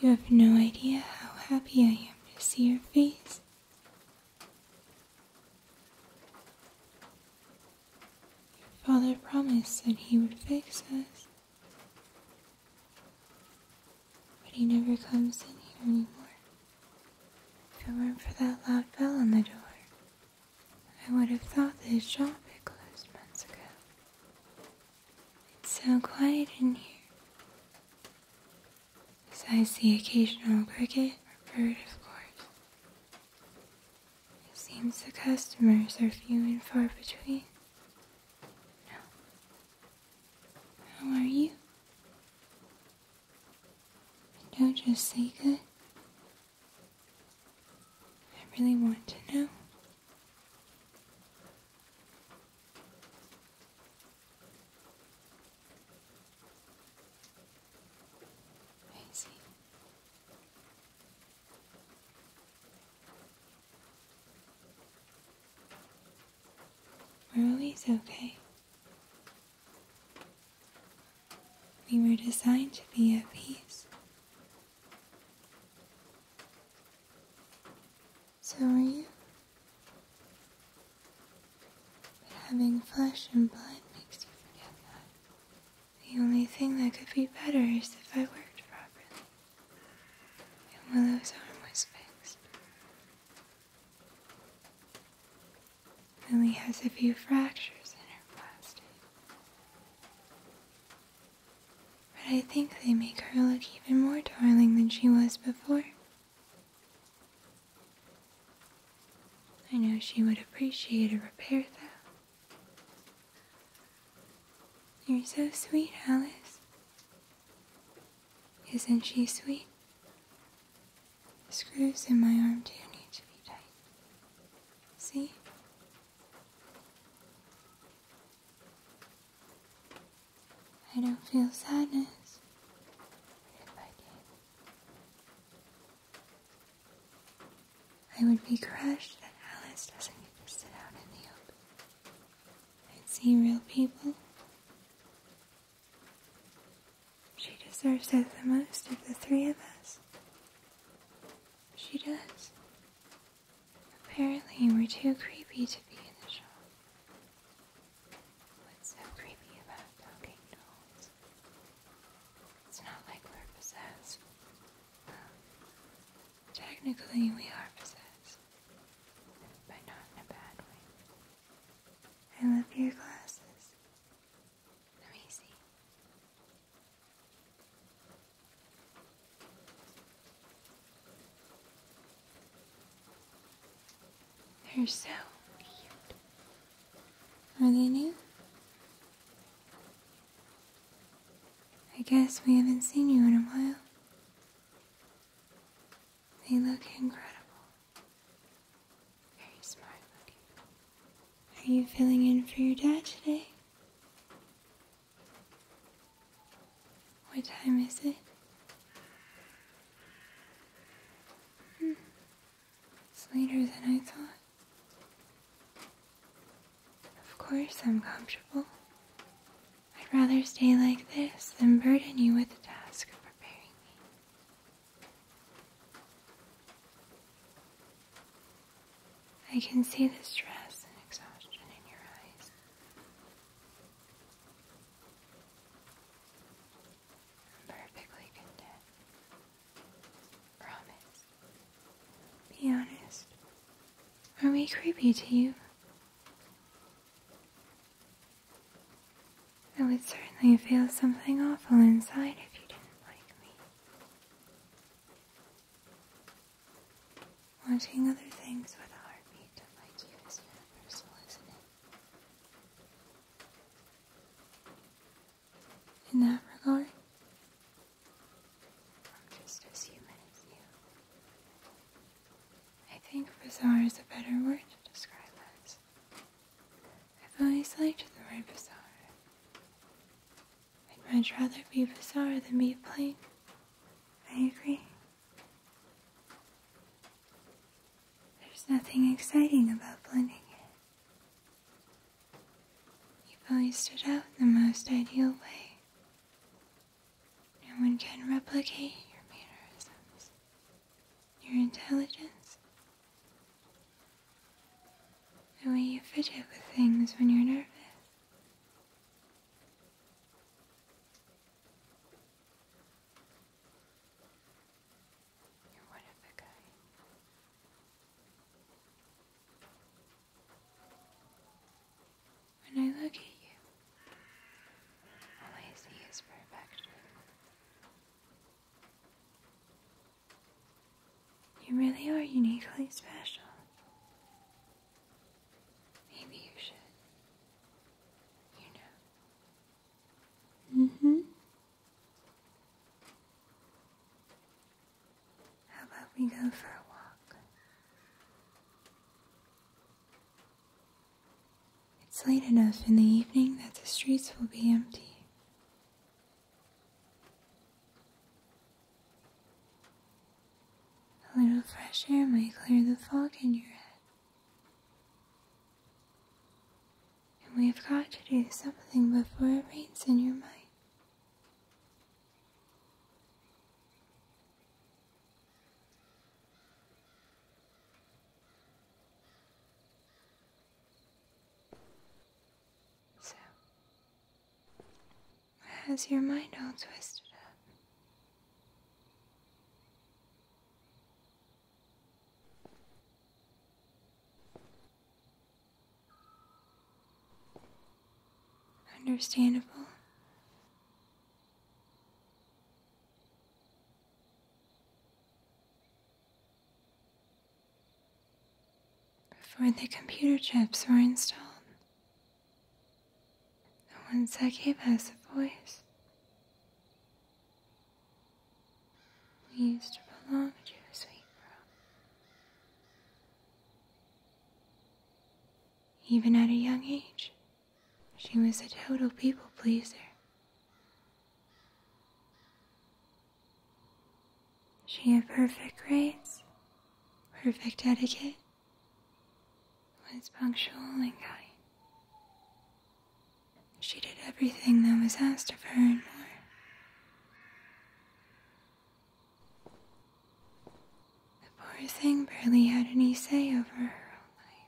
You have no idea how happy I am to see your face. Your father promised that he would fix us, but he never comes in here anymore. If it weren't for that loud bell on the door, I would have thought this shop had closed months ago. It's so quiet in here. Besides the occasional cricket or bird, of course. It seems the customers are few and far between. How are you? don't just say good. I really want to know. I see. are always okay. We were designed to be at peace. Sorry. having flesh and blood makes you forget that. The only thing that could be better is if I worked properly. And Willow's arm was fixed. Lily has a few fractures in her plastic. But I think they make her look even more darling than she was before. I know she would appreciate a repair, though. You're so sweet, Alice. Isn't she sweet? The screws in my arm do need to be tight. See? I don't feel sadness. If I did, I would be crushed that Alice doesn't get to sit out in the open and see real people. She deserves it the most of the three of us. She does. Apparently, we're too creepy to be in the show. What's so creepy about talking dolls? It's not like we're possessed. Um, technically, we are possessed, but not in a bad way. I love your glasses. They're easy. They're so cute. Are they new? I guess we haven't seen you in a while. They look incredible. Very smart looking. Are you filling in for your dad today? What time is it? Hmm. It's later than I thought. Of course I'm comfortable. I'd rather stay like this than burden you with the task of preparing me. I can see the stress and exhaustion in your eyes. I'm perfectly content. Promise. Be honest. Are we creepy to you? I would certainly feel something awful inside if you didn't like me. Wanting other things with a heartbeat like you is universal, isn't it? In that regard, I'm just as human as you. I think bizarre is a better word to describe us. I've always liked the word bizarre. I'd much rather be bizarre than be plain. I agree. There's nothing exciting about blending You've always stood out in the most ideal way. No one can replicate your mannerisms, your intelligence, the way you fidget with things when you're nervous. You're one of a kind. When I look at you, all I see is perfection. You really are uniquely special. Maybe you should. You know. hmm. How about we go for a walk? It's late enough in the evening that the streets will be empty. A little fresh air might clear the fog in your head. And we've got to do something before it rains in your mind. So, has your mind all twisted up? Understandable before the computer chips were installed, the ones that gave us a voice. We used to belong to a sweet girl. Even at a young age, she was a total people pleaser. She had perfect grades, perfect etiquette, was punctual and kind. She did everything that was asked of her and more. The poor thing barely had any say over her own life.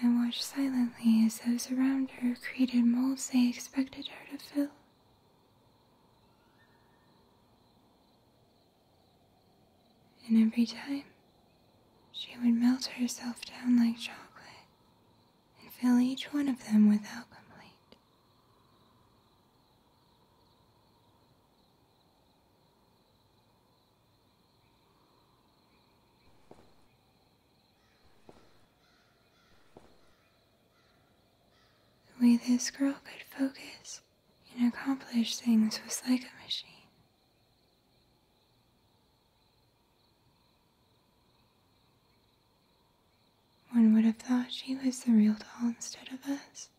I watched silently as those around her created molds they expected her to fill. And every time, she would melt herself down like chocolate and fill each one of them without complaint. The way this girl could focus and accomplish things was like a machine. One would have thought she was the real doll instead of us.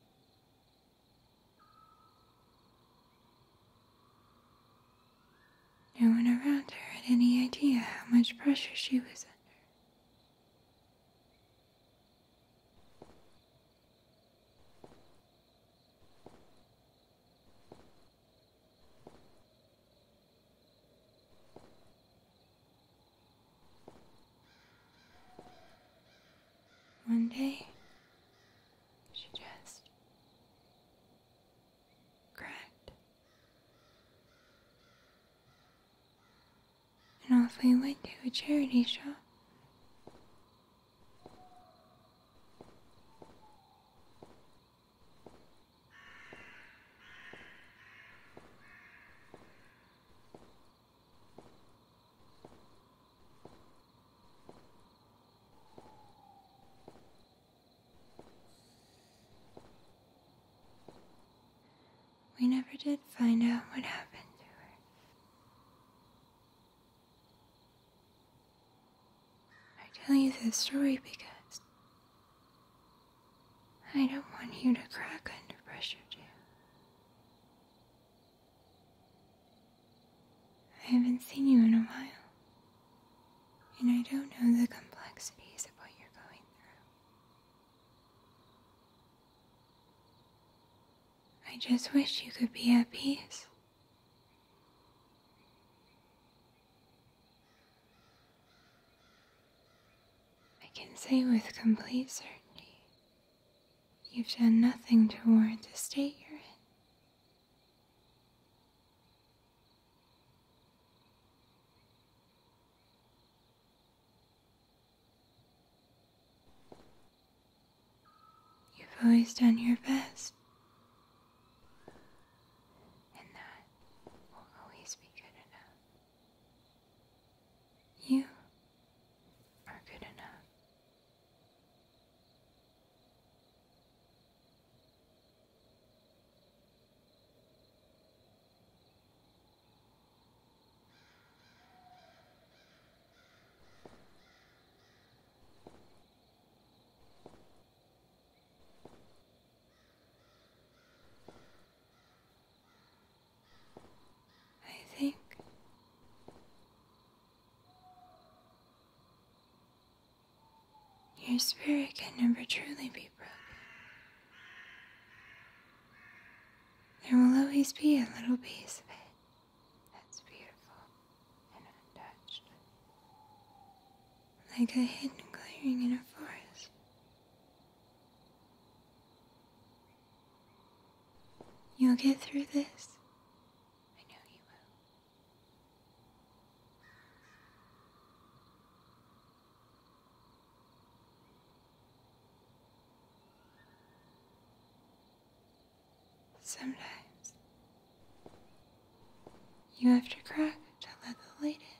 No one around her had any idea how much pressure she was under. One day, she just cracked. And off we went to a charity show. We never did find out what happened to her. I tell you this story because I don't want you to crack under pressure, dear. I haven't seen you in a while, and I don't know the complexities of what you're going through. I just wish you could be at peace. I can say with complete certainty you've done nothing to warrant the state you're in. You've always done your best. And that will always be good enough. You are good enough. I think your spirit can never truly be broken. There will always be a little piece of it that's beautiful and untouched, like a hidden clearing in a forest You'll get through this. I know you will. Sometimes you have to crack to let the light in.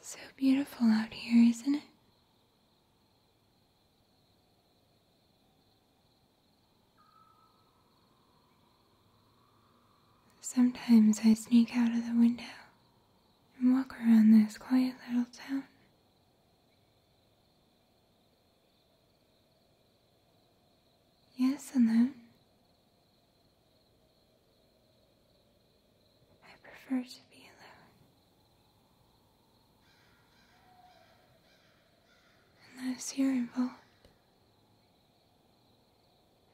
So beautiful out here, isn't it? Sometimes I sneak out of the window and walk around this quiet little town. Yes, alone. I prefer to be alone. Unless you're involved.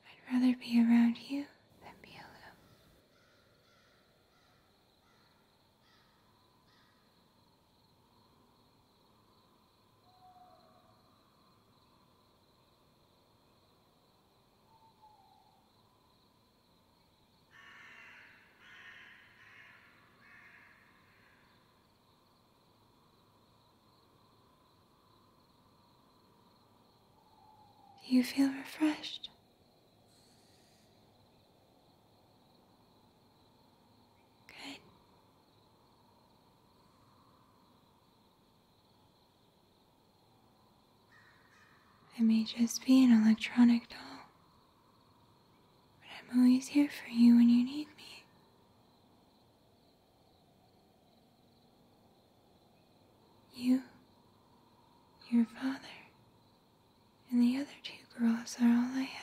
I'd rather be around you than be alone. Do you feel refreshed? Good. I may just be an electronic doll, but I'm always here for you when you need me. You, your father, and the other two girls are all I have.